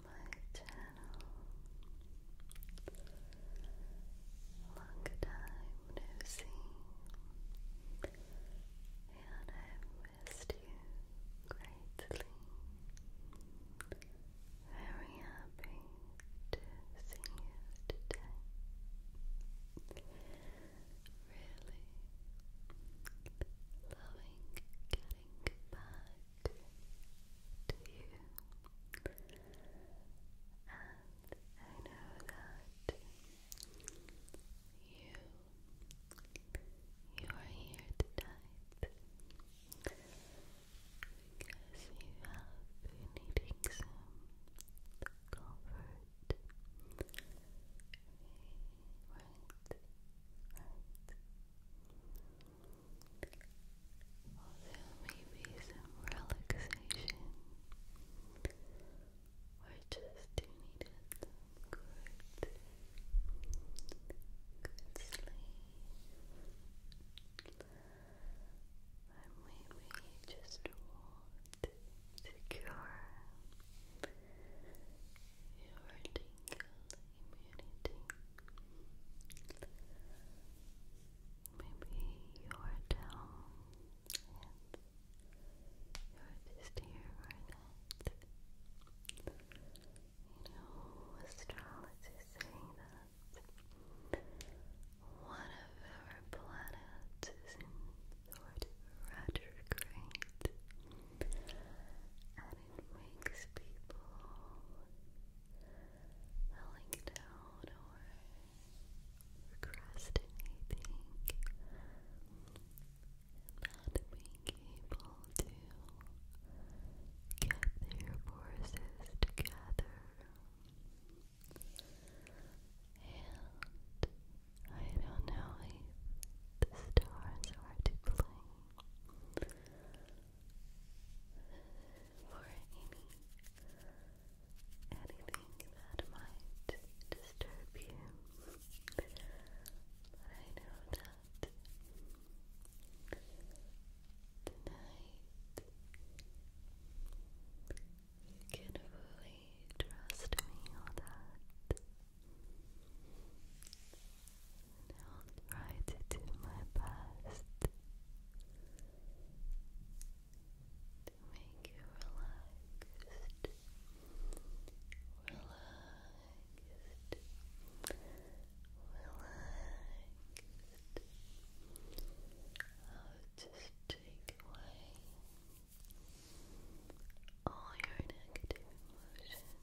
my channel. Long time no see, and i missed you greatly. Very happy to see you today. Really loving getting back to you. And I know that you you are here tonight because you have been needing some comfort. right there may be some relaxation. we just you some good, good sleep. And maybe you just want to secure your tingle immunity. Maybe your down you're just here for that. You know, astrologers say that one of our planets is in sort of retrograde and it makes people Falling down or procrastinating not being able to get their forces together. And I don't know if the stars are to blame, for any anything that might disturb you. I know that tonight you can fully trust me on that. I'll try to do my best to make you relaxed, relaxed, relaxed. I'll just take away all your negative emotions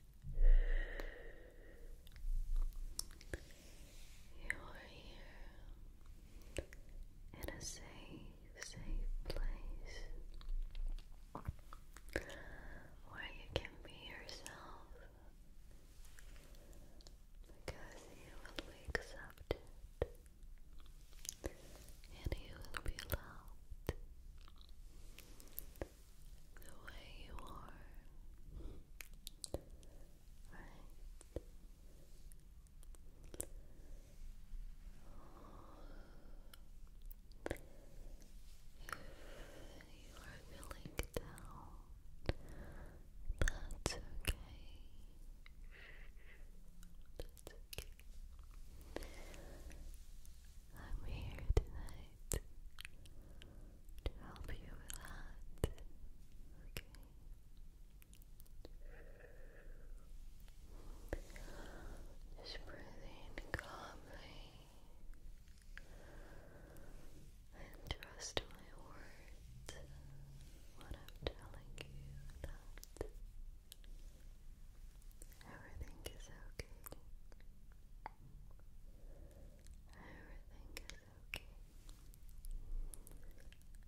you are here in a safe, safe place where you can be yourself because you will be accepted and you will be loved the way you are. If you are feeling down, that's okay. That's okay. I'm here tonight to help you relax. Okay. Just breathing in calmly and trust my words when I'm telling you that everything is okay. Everything is okay.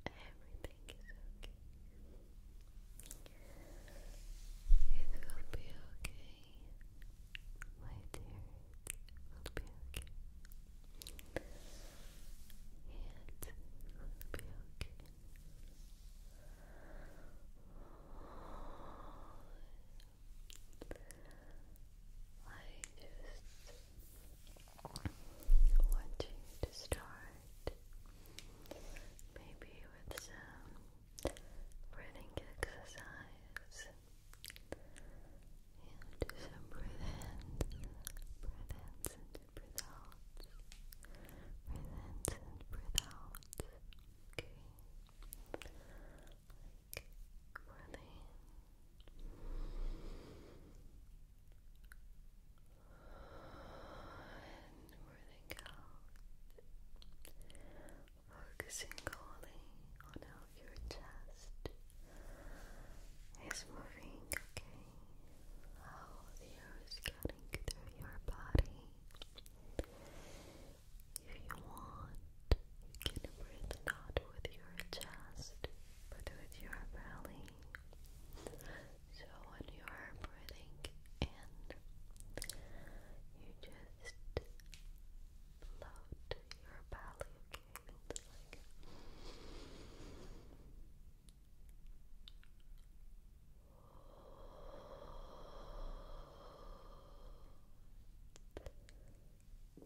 Everything is okay. It will be okay. My dear, it will be okay. It will be okay just want you to start maybe with some breathing exercise and do some breath ins, breath ins and breath outs, breath ins and breath outs. Okay like and breathing out focusing only on how your chest is moving, okay? How the air is getting through your body if you want, you can breathe not with your chest, but with your belly. So when you are breathing in, you just float your belly, okay? good.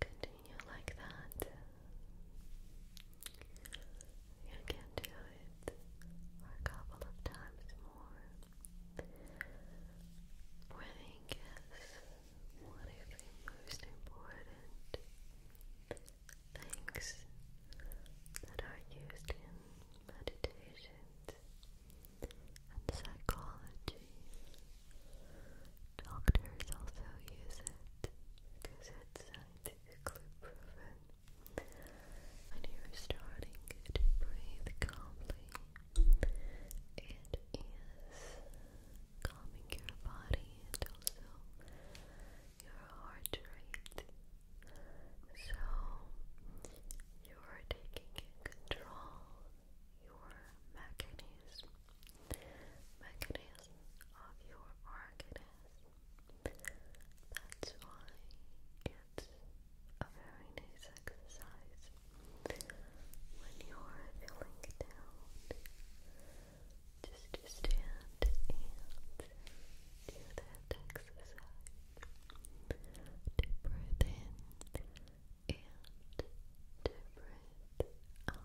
Continue like that. You can do it a couple of times more. Breathing is one of the most important things that are used in meditation and psychology. Doctors also use it because it's scientifically proven and you're starting to breathe calmly. It is calming your body and also your heart rate. So you're taking control your mechanism mechanism of your organism that's why it's a very nice exercise when you're feeling down. Just to stand and do that exercise. To breathe in and to breathe out slowly.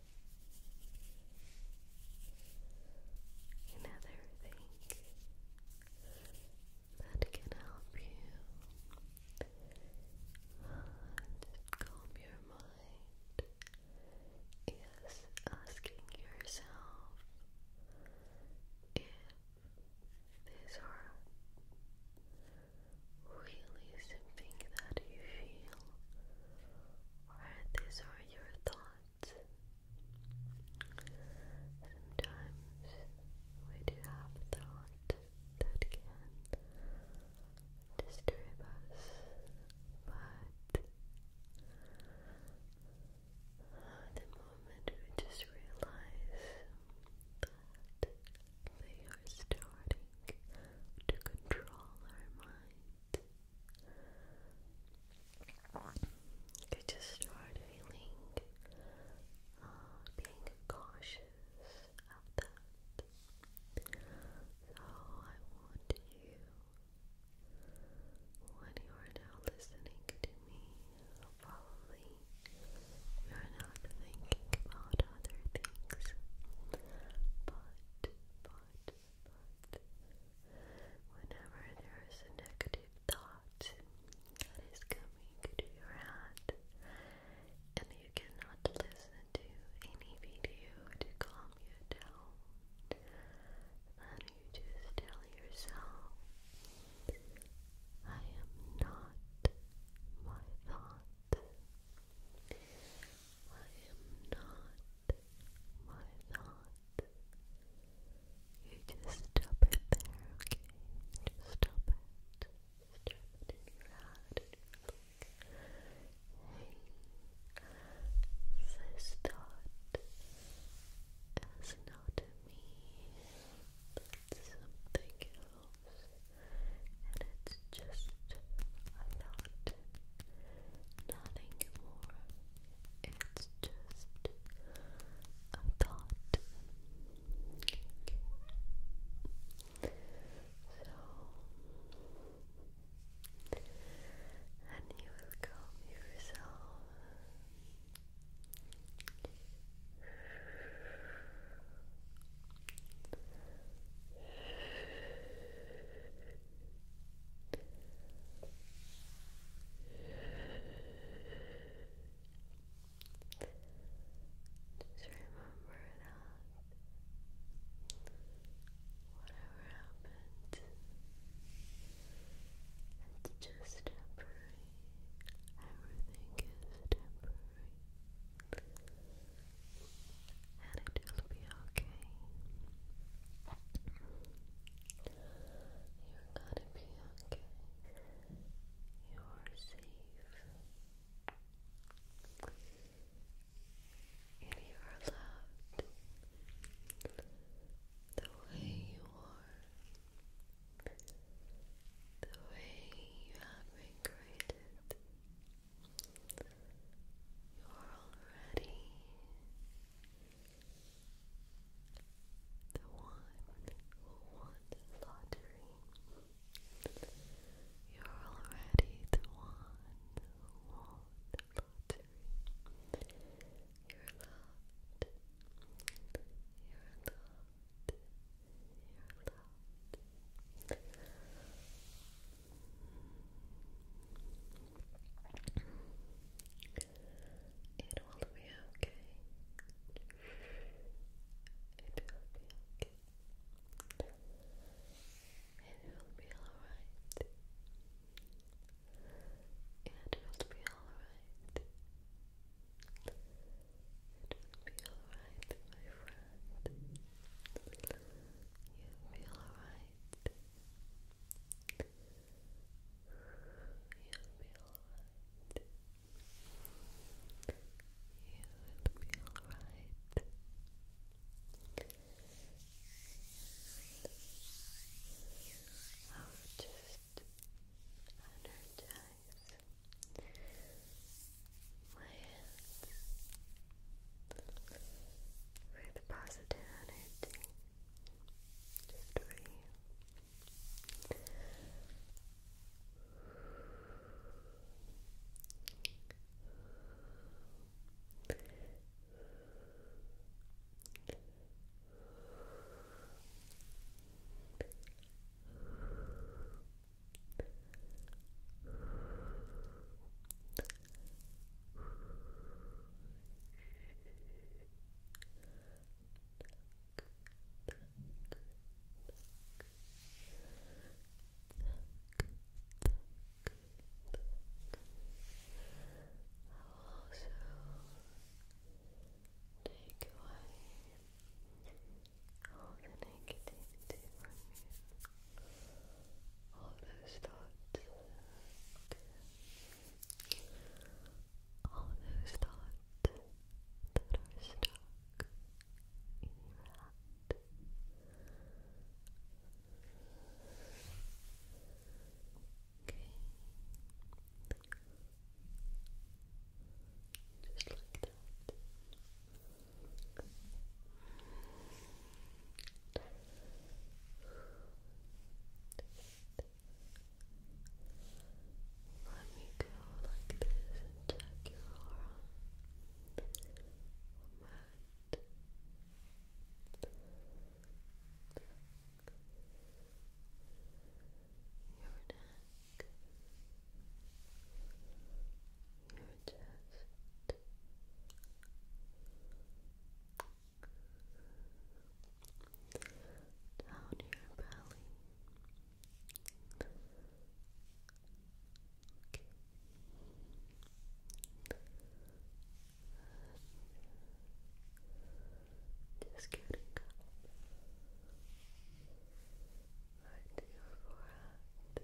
Another thing that can help you calm your mind is asking yourself if these are we really something that you feel, or these are your thoughts. Sometimes we do have thoughts that can disturb us, but the moment we just realize that they are starting to control our mind. I just start feeling uh, being cautious of that. So I want you, when you are now listening to me, probably you are not thinking about other things, but but, whenever there is a negative thought that is coming to your head and you cannot listen to any video to calm you down, then you just tell yourself, I am not my thought. I am not my thoughts. You just stop it there, okay? stop it. Stop in your head this thought is not me. That's something else and it's just I'm not not It's just a thought. So and you will calm yourself. Whatever happens, it's just temporary. Everything is temporary and it will be okay. You're gonna be okay. You're safe. And you are loved the way you are, the way you have been created. You're already the one who won the lottery. You're already the one who won the lottery. You're loved. You're loved. You're loved. It will be okay. It will be okay. It will be alright. It will be alright. It will be alright, my friend. You feel alright. You feel alright. You will be alright. i just energize my with positive energy you take away all the negativity All the negativity from you all of those thoughts. All those thoughts that are stuck in your head. Okay. Just like that. Let me go like this and check your aura. Your neck your chest. Down your belly. just getting up. Right to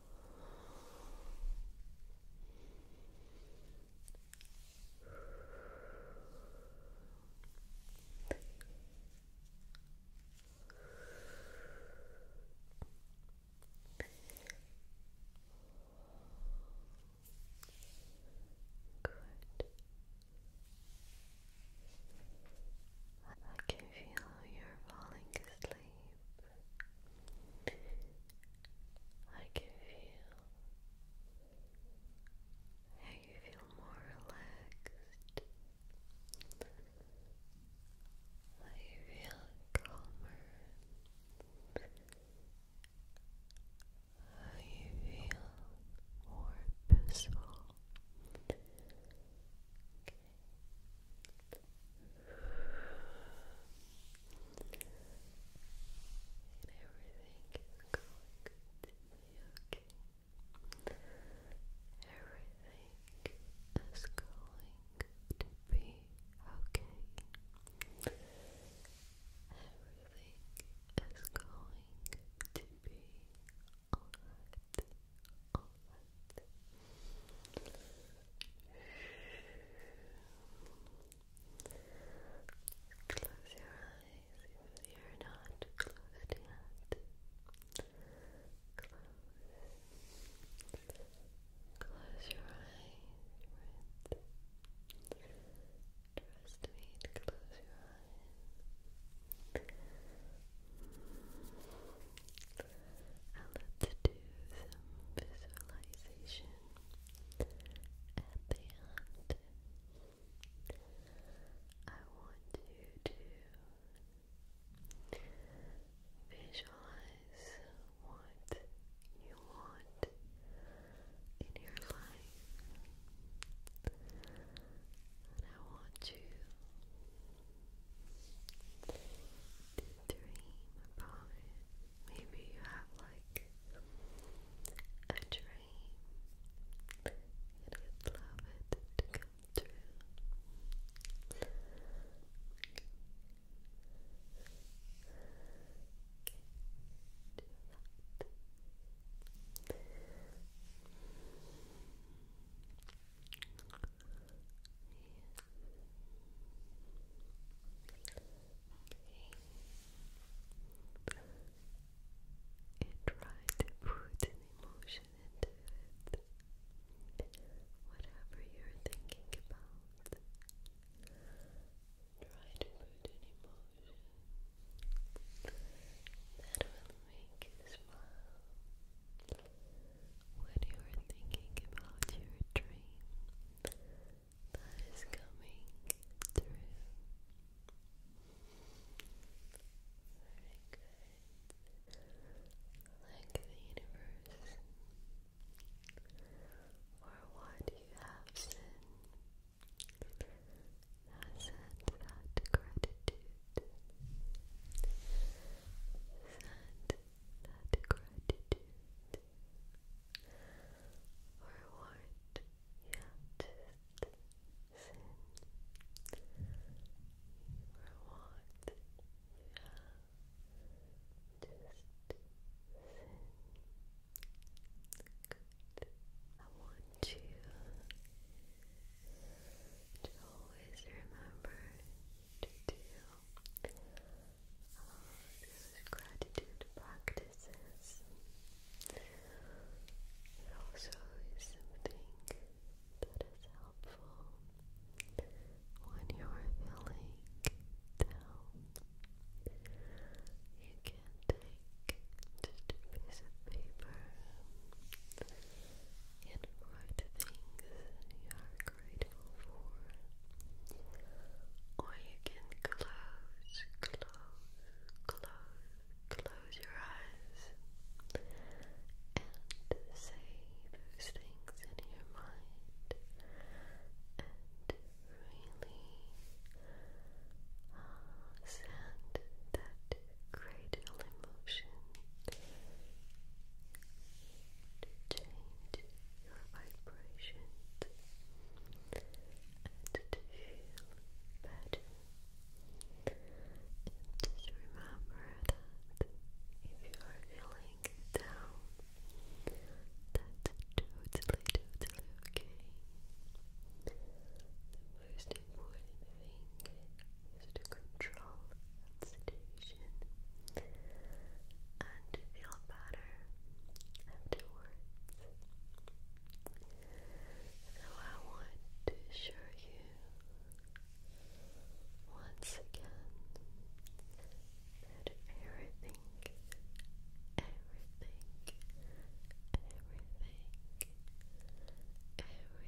I can feel you're falling asleep sleep. I can feel how you feel more relaxed. I feel calmer. How you feel more peaceful. And everything is going to be okay. Everything is going to be okay. Everything is going to be alright. Alright. Close your eyes you're not closed yet. Close. your eyes. Trust me close your eyes. And let's do some visualization. At the end, I want you to visualize what you want in your life, and I want you to dream about it. Maybe you have like a dream and you'd love it to and try to put an emotion into it. Whatever you're thinking about, try to put an emotion that will make you smile. When you are thinking about your dream, that is coming through. Very good. Like the universe, or what you have seen, send that gratitude. Send that gratitude or what you just seen, or what you just seen. I want you to always remember to do these gratitude practices. It also is something that is helpful when you're feeling down. You can take just a piece of paper and write things or you can close, close, close, close your eyes and say those things in your mind and really uh, send that grateful emotion to change your vibrations and to feel better. just remember that if you are feeling down, that's totally, totally okay. The most important thing is to control that station and feel better afterwards. So I want to assure you once again that everything, everything, everything,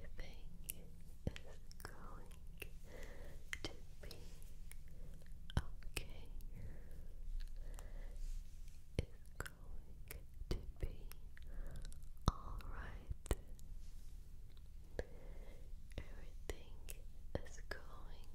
everything is going to be okay is going to be alright. Everything is going to be okay, and everything is going to be alright.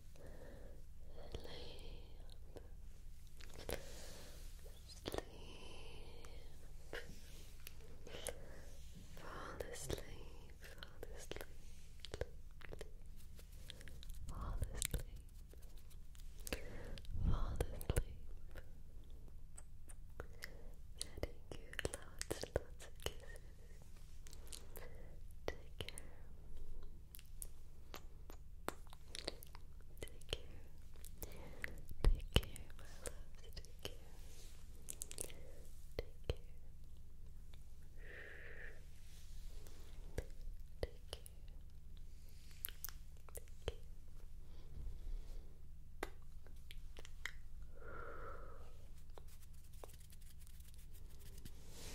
sleep, fall asleep, fall asleep, fall asleep, fall asleep. Sending you lots, lots of kisses. Take care. Take care. Take care, my loves. Take care. Take care. Take care. Take care.